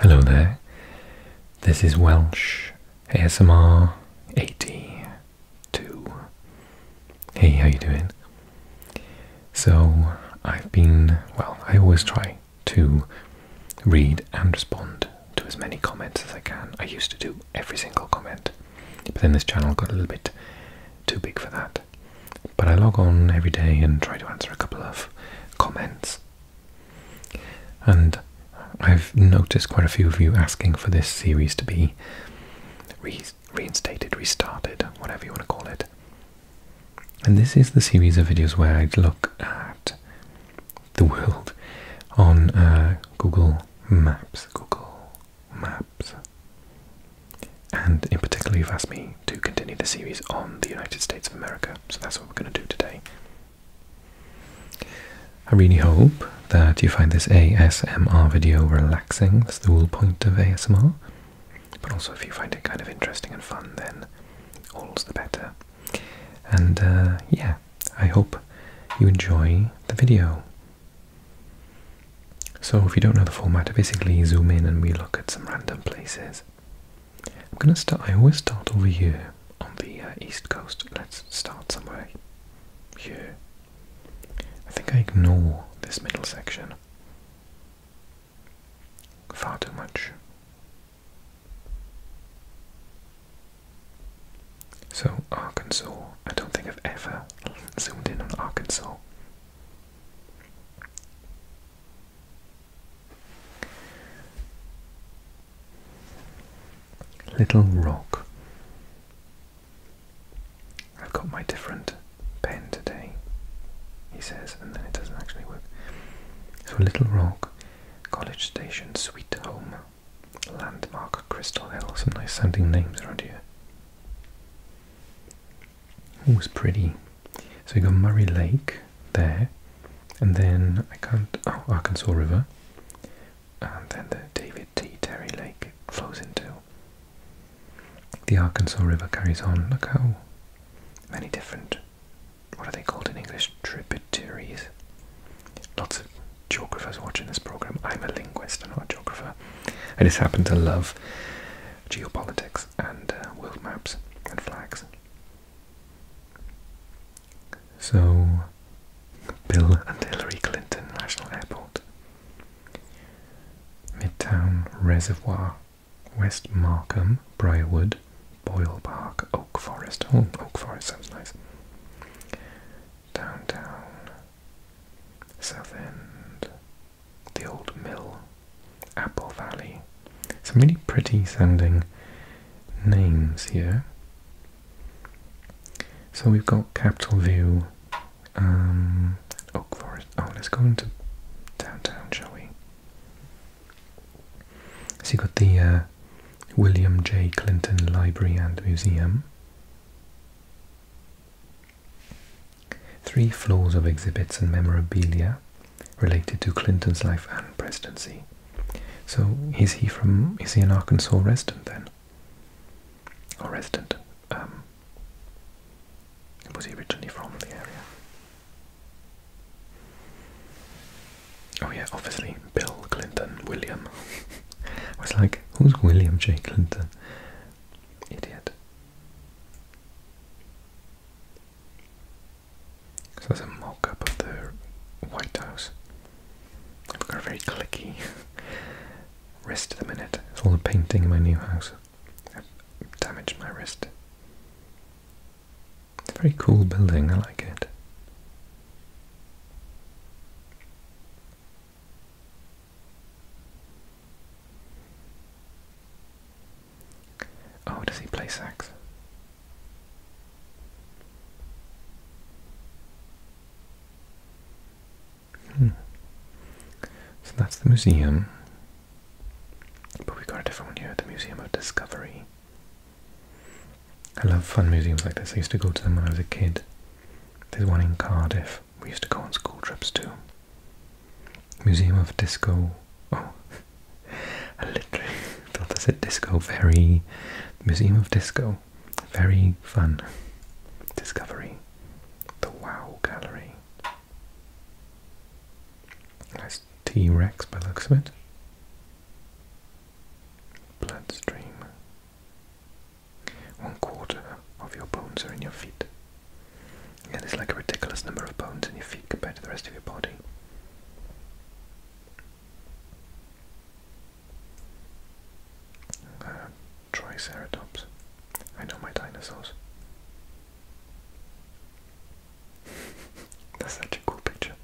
Hello there, this is Welsh ASMR 82. Hey, how you doing? So, I've been, well, I always try to read and respond to as many comments as I can. I used to do every single comment, but then this channel got a little bit too big for that. But I log on every day and try to answer a couple of comments. And I've noticed quite a few of you asking for this series to be reinstated, restarted, whatever you want to call it. And this is the series of videos where I'd look at the world on uh, Google Maps. Google Maps. And in particular, you've asked me to continue the series on the United States of America, so that's what we're going to do today. I really hope that you find this ASMR video relaxing, that's the whole point of ASMR. But also, if you find it kind of interesting and fun, then all's the better. And uh, yeah, I hope you enjoy the video. So, if you don't know the format, basically zoom in and we look at some random places I'm gonna start. I always start over here on the uh, east coast. Let's start somewhere here. I think I ignore this middle section far too much. So, Arkansas. I don't think I've ever zoomed in on Arkansas. Little Rock. I've got my different pen today, he says, and then it doesn't actually work. So, Little Rock, College Station, Sweet Home, Landmark, Crystal Hill. Some nice sounding names around here. It was pretty. So you got Murray Lake there, and then I can't. Oh, Arkansas River, and then the David T. Terry Lake flows into. The Arkansas River carries on. Look how many different. What are they called in English? Tributaries. Lots of geographers watching this program. I'm a linguist, and not a geographer. I just happen to love geopolitics and uh, world maps and flags. So, Bill and Hillary Clinton National Airport, Midtown Reservoir, West Markham, Briarwood, Boyle Park, Oak Forest. Oh, Oak Forest sounds nice. Downtown, South End, the Old Mill, Apple Valley. Some really pretty sounding names here. So we've got Capital View, um, Oak Forest. Oh, let's go into downtown, shall we? So you've got the uh, William J. Clinton Library and Museum. Three floors of exhibits and memorabilia related to Clinton's life and presidency. So is he from? Is he an Arkansas resident then? Or resident? Um, was he originally from the area? Oh yeah, obviously Bill Clinton, William. I was like, who's William J. Clinton? Idiot. So that's a mock-up of the White House. I've got a very clicky wrist at the minute. It's all the painting in my new house. I've damaged my wrist. It's a very cool building, I like it. Oh, does he play sax? Hmm. So that's the museum. But we've got a different one here, the Museum of Discovery. I love fun museums like this. I used to go to them when I was a kid. There's one in Cardiff. We used to go on school trips too. Museum of Disco. Oh, I literally thought I said disco. Very Museum of Disco. Very fun. Discovery. The Wow Gallery. That's T Rex by looks of it. Bloodstream. One quarter of your bones are in your feet. Yeah, there's like a ridiculous number of bones in your feet compared to the rest of your body. Uh, triceratops. I know my dinosaurs. That's such a cool picture.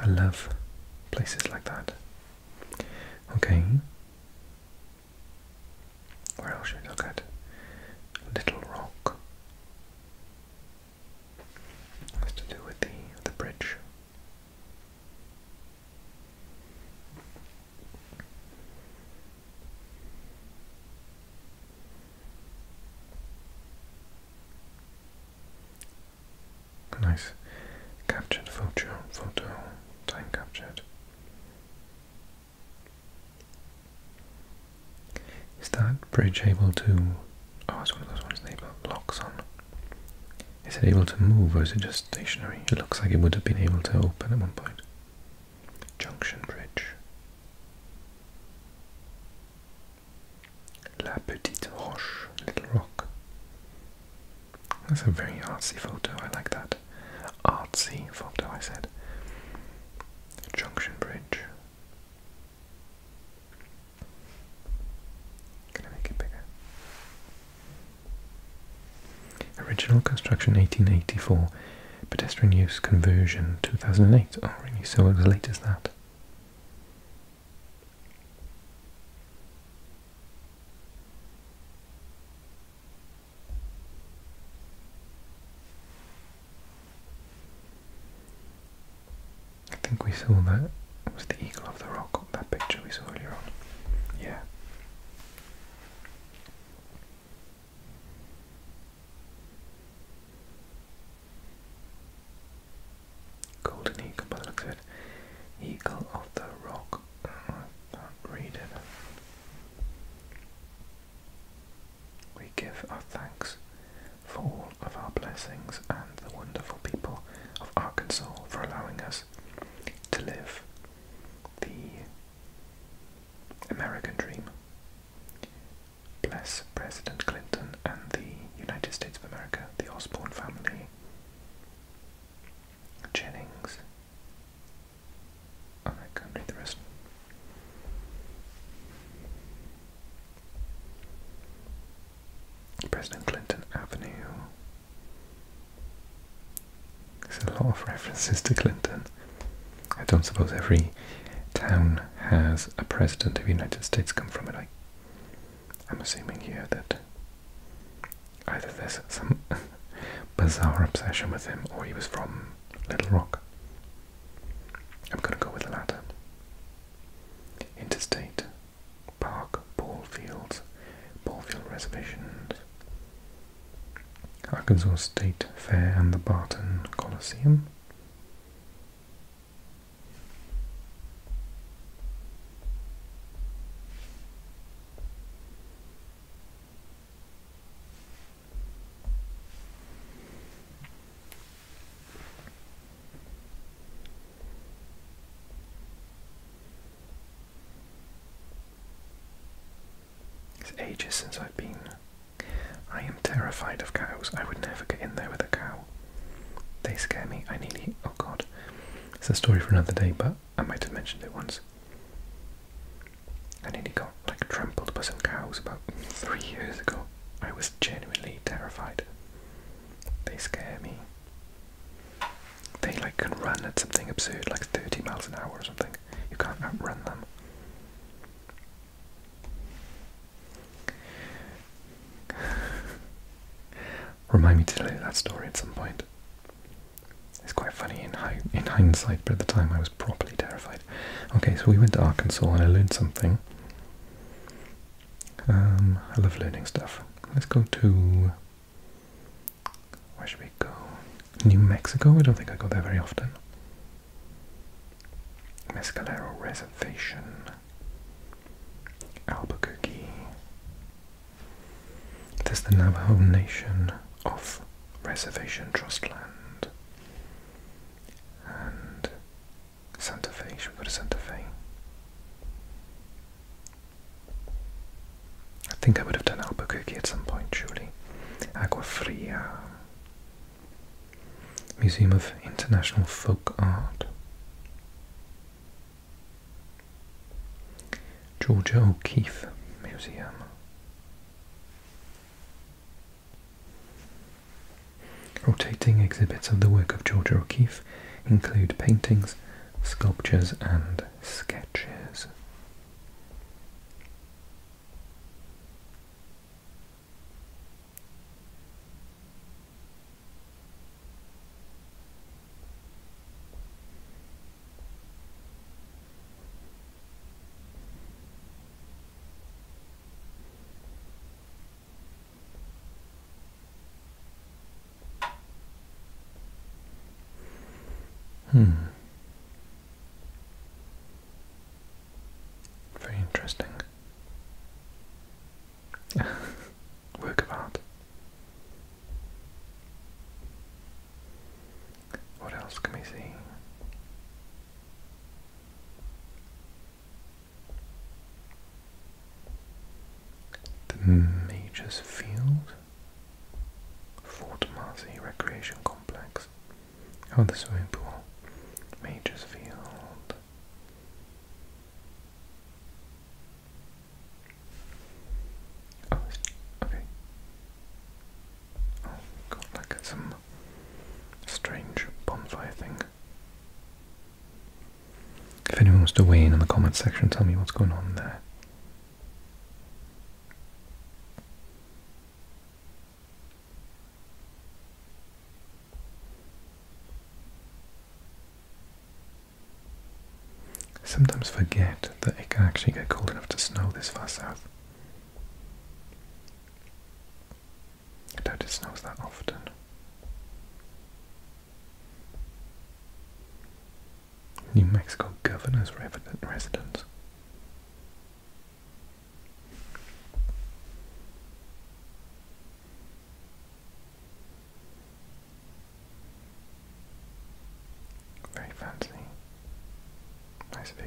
I love places like that. Okay. Where else should we look at? Little Rock. That's to do with the the bridge. Nice captured photo, photo time captured. Is that bridge able to... Oh, it's one of those ones they've got locks on. Is it able to move or is it just stationary? It looks like it would have been able to open at one point. Junction Bridge. La Petite Roche, Little Rock. That's a very artsy photo, I like that. Artsy photo, I said. Junction Bridge, can I make it bigger? Original construction 1884, pedestrian use conversion 2008. Oh, really? So as late as that. I think we saw that was the eagle of the rock that picture we saw earlier on. Yeah. Golden eagle by the looks of Eagle of the rock. Oh, I can't read it. We give our thanks for all of our blessings and the wonderful people of Arkansas for allowing us to live the American dream. Bless President Clinton and the United States of America, the Osborne family, Jennings. I can't read the rest. President Clinton Avenue. There's a lot of references to Clinton. I don't suppose every town has a president of the United States come from it. I, am assuming here that either there's some bizarre obsession with him or he was from Little Rock. I'm going to go with the latter. Interstate, park, Paul fields, Paul field reservations, Arkansas State Fair and the Barton Coliseum. It's ages since I've been. I am terrified of cows. I would never get in there with a cow. They scare me. I nearly. Oh god. It's a story for another day, but I might have mentioned it once. I nearly got like trampled by some cows about three years ago. I was genuinely terrified. They scare me. They like can run at something absurd, like 30 miles an hour or something. You can't outrun them. Remind me to tell you that story at some point. It's quite funny in in hindsight, but at the time I was properly terrified. Okay, so we went to Arkansas and I learned something um, I love learning stuff. Let's go to where should we go? New Mexico? I don't think I go there very often. Mescalero Reservation. Albuquerque. There's the Navajo Nation off Reservation Trust Land and Santa Fe. Should we go to Santa Fe? I think I would have done Albuquerque at some point, surely. Agua Fria. Museum of International Folk Art. Georgia O'Keeffe Museum. Rotating exhibits of the work of George O'Keeffe include paintings, sculptures and sketches. Hmm. Very interesting. Work of art. What else can we see? The Majors Field, Fort Marcy Recreation Complex. Oh, the swimming pool. Majors Oh, okay. Oh, got some strange bonfire thing. If anyone wants to weigh in on the comments section, tell me what's going on there. Sometimes forget that it can actually get cold enough to snow this far south. I doubt it snows that often. New Mexico governor's residence. Very fancy. Nice view.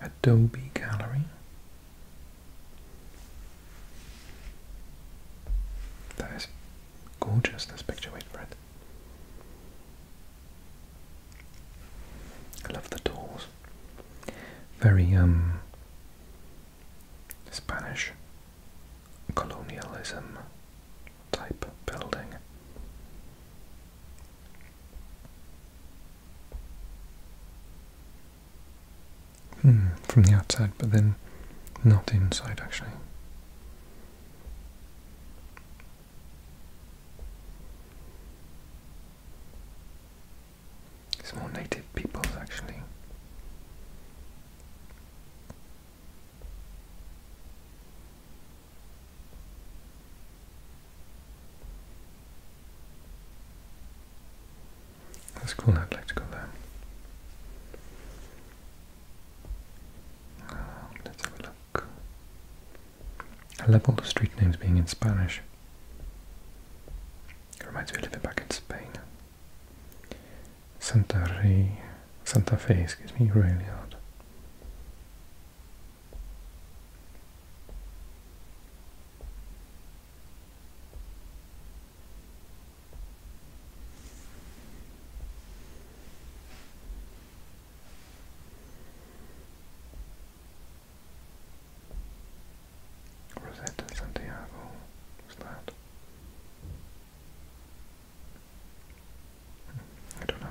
Adobe Gallery. That is gorgeous, this picture, wait for it. I love the doors. Very, um, Spanish colonialism type building. Hmm, from the outside, but then not inside actually. It's more native peoples actually. That's cool, I'd like to go there. Uh, let's have a look. I love all the street names being in Spanish. It reminds me a little bit back in Spain. Santa Fe, Santa Fe, excuse me, really hard. Rosetta Santiago, was that? I don't know.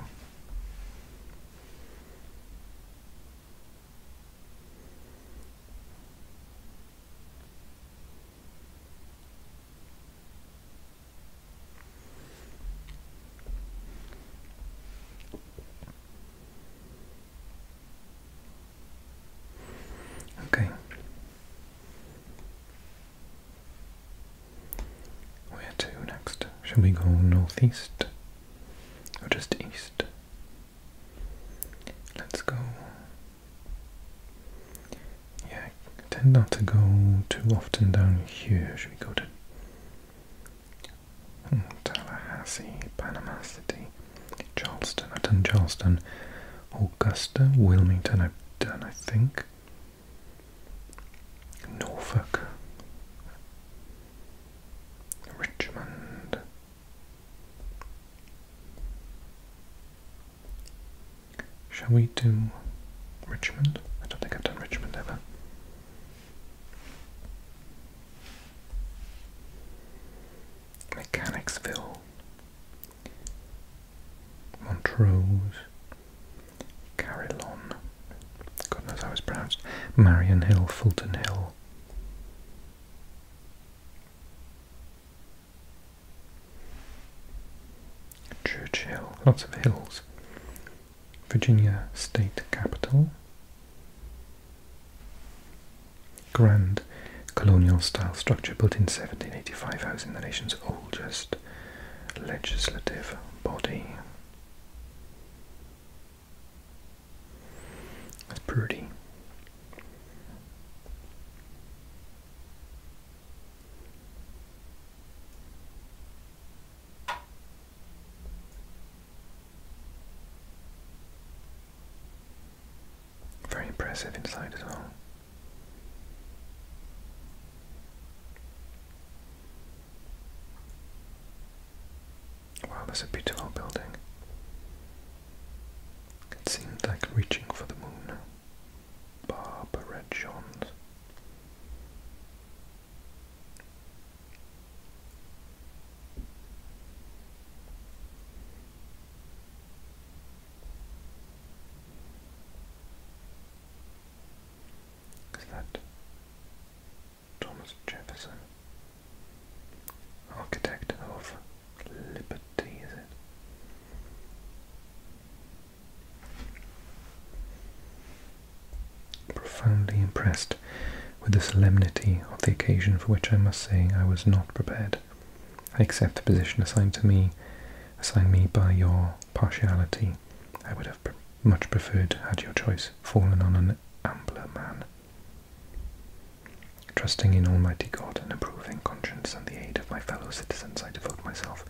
Okay. Where to next? Shall we go northeast or just east? Let's go. Yeah, tend not to go too often down here. Should we go to hmm, Tallahassee, Panama City, Charleston? I've done Charleston, Augusta, Wilmington. I've done, I think. Norfolk, Richmond, shall we do Richmond? I don't think I've done Richmond ever. Mechanicsville, Montrose, Carillon, God knows how it's pronounced, Marion Hill, Fulton Hill. Church Hill. lots of hills. Virginia State Capitol. Grand colonial style structure built in 1785, housing the nation's oldest legislative body. That's pretty. Very impressive inside as well. Wow, that's a beautiful building. It seemed like reaching for the moon. Barbara Johns. Is that Thomas Jefferson? Architect of Liberty, is it? Profoundly impressed with the solemnity of the occasion for which I must say I was not prepared. I accept the position assigned to me assigned me by your partiality. I would much preferred had your choice fallen on an ampler man. Trusting in Almighty God and approving conscience and the aid of my fellow citizens, I devote myself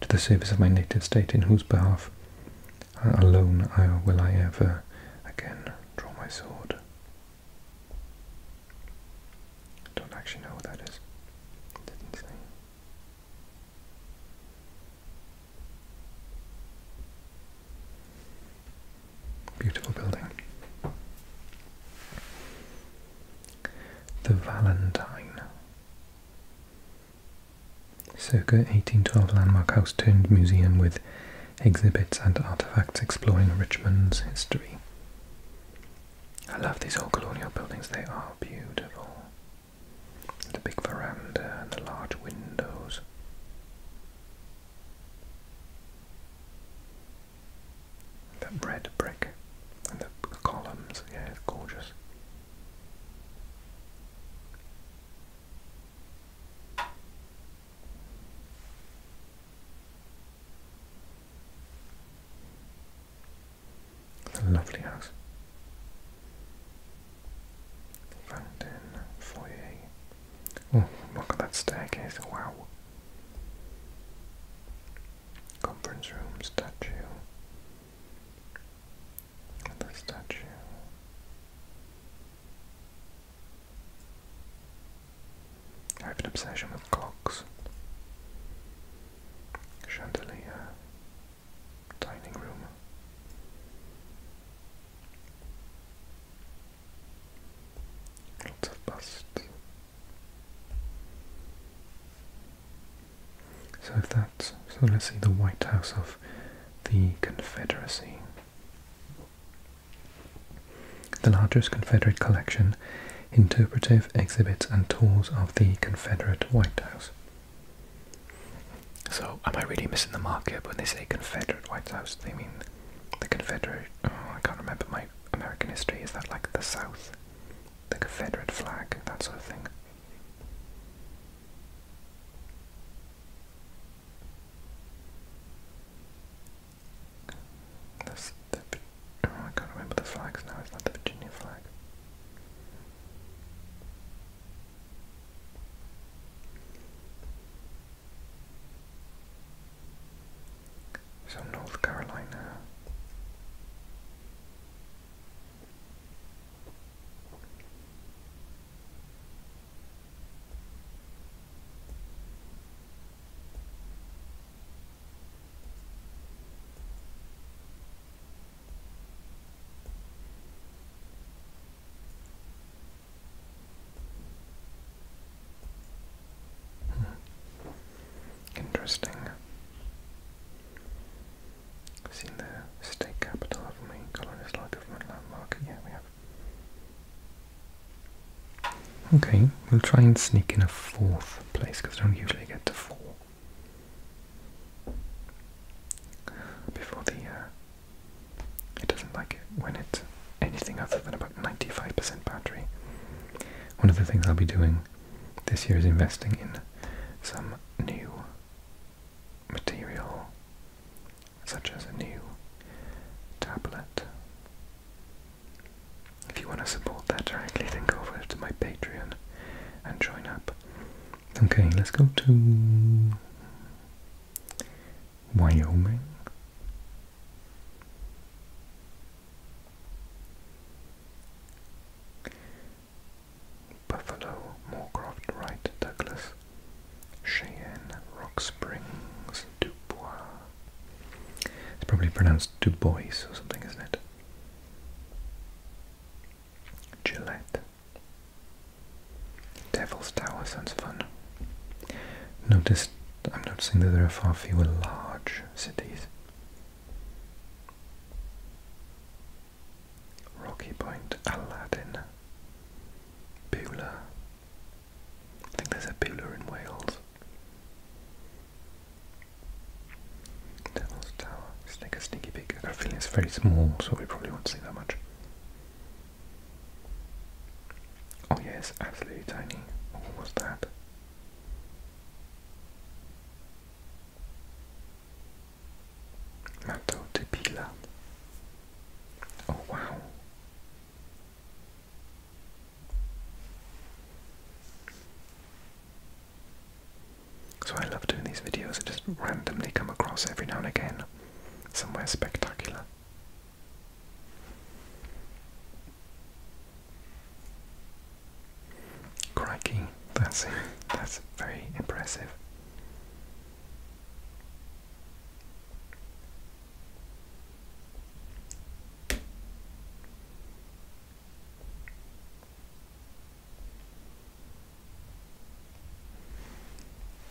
to the service of my native state, in whose behalf uh, alone uh, will I ever again draw my sword. Don't actually know what that Beautiful building. The Valentine. Circa 1812 Landmark House turned museum with exhibits and artefacts exploring Richmond's history. I love these old colonial buildings, they are beautiful. The big veranda and the large windows. That red brick and the columns, yeah, it's gorgeous. The lovely house. Fountain, foyer. Oh, look at that staircase, wow. Conference room, statue. The statue. I have an obsession with clocks. Chandelier dining room. Lots of busts. So if that's so let's see the White House of the Confederacy. The largest Confederate collection, interpretive exhibits and tours of the Confederate White House. So, am I really missing the market When they say Confederate White House, they mean the Confederate. Oh, I can't remember my American history. Is that like the South? The Confederate flag, that sort of thing. the, oh, I can't remember the flags now. Is that the Virginia flag? So North Carolina. Interesting. seen the state capital, haven't we? Landmark. Yeah, we have. Okay, we'll try and sneak in a fourth place because I don't usually get to four. Before the uh, it doesn't like it when it anything other than about 95% battery. One of the things I'll be doing this year is investing in some new material, such as a new tablet. If you want to support that directly, then go over to my Patreon and join up. Okay, let's go to Wyoming. Buffalo, Moorcroft, Wright, Douglas, Cheyenne, Rock Springs, Dubois. It's probably pronounced Dubois or something, isn't it? Gillette, Devil's Tower sounds fun. Notice, I'm noticing that there are far fewer large cities. Rocky Point, Aladdin, Beulah. I think there's a Beulah in Wales. Devil's Tower. It's us a sneaky peek. I got it's very small, so we probably won't see that much. Oh yeah, absolutely tiny. What was that? Mato Oh wow. So I love doing these videos, I just randomly come across every now and again somewhere spectacular. Crikey, that's that's very impressive.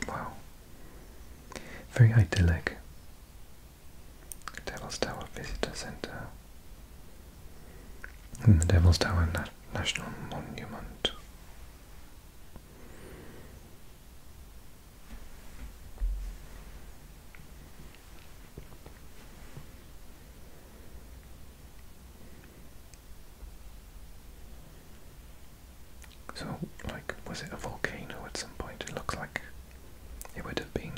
Wow. Very idyllic. Devil's Tower Visitor Center. And hmm, the Devil's Tower National Monument. So, like, was it a volcano at some point? It looks like it would have been.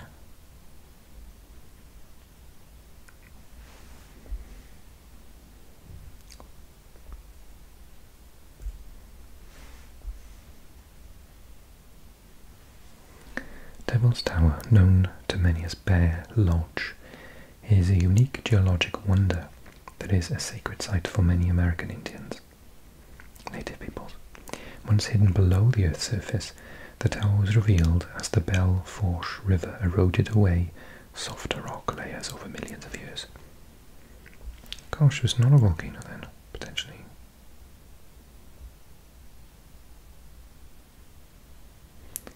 Devil's Tower, known to many as Bear Lodge, is a unique geologic wonder that is a sacred site for many American Indians, native peoples. Once hidden below the Earth's surface, the tower was revealed as the Belle Fourche River eroded away softer rock layers over millions of years. Gosh, it not a volcano then, potentially.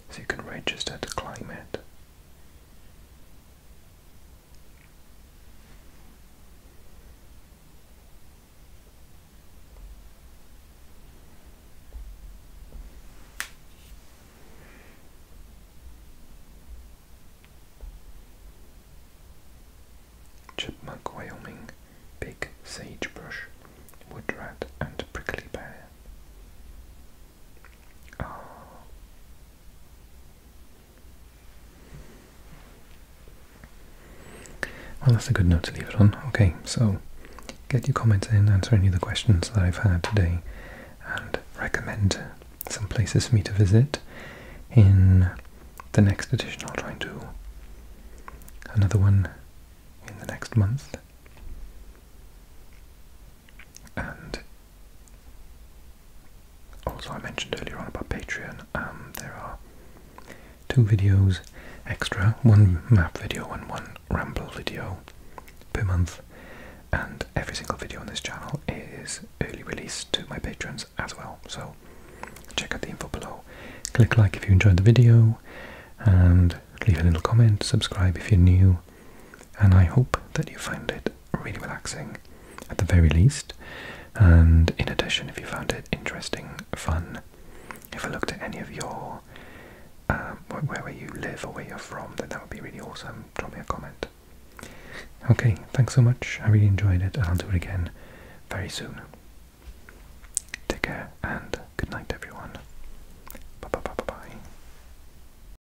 So you can register to climate Chipmunk, Wyoming, Big Sagebrush, woodrat, and Prickly pear. Ah. Well, that's a good note to leave it on. Okay, so get your comments in, answer any of the questions that I've had today, and recommend some places for me to visit in the next edition. I'll try and do another one in the next month also, I mentioned earlier on about Patreon. Um, there are two videos extra, one map video and one ramble video per month, and every single video on this channel is early release to my patrons as well. So check out the info below. Click like if you enjoyed the video, and leave a little comment. Subscribe if you're new, and I hope that you find it really relaxing at the very least. And in addition, if you found it interesting, fun, if I looked at any of your um, where you live or where you're from, then that would be really awesome. Drop me a comment. Okay, thanks so much. I really enjoyed it, and I'll do it again very soon. Take care and good night, everyone. Bye bye bye bye bye.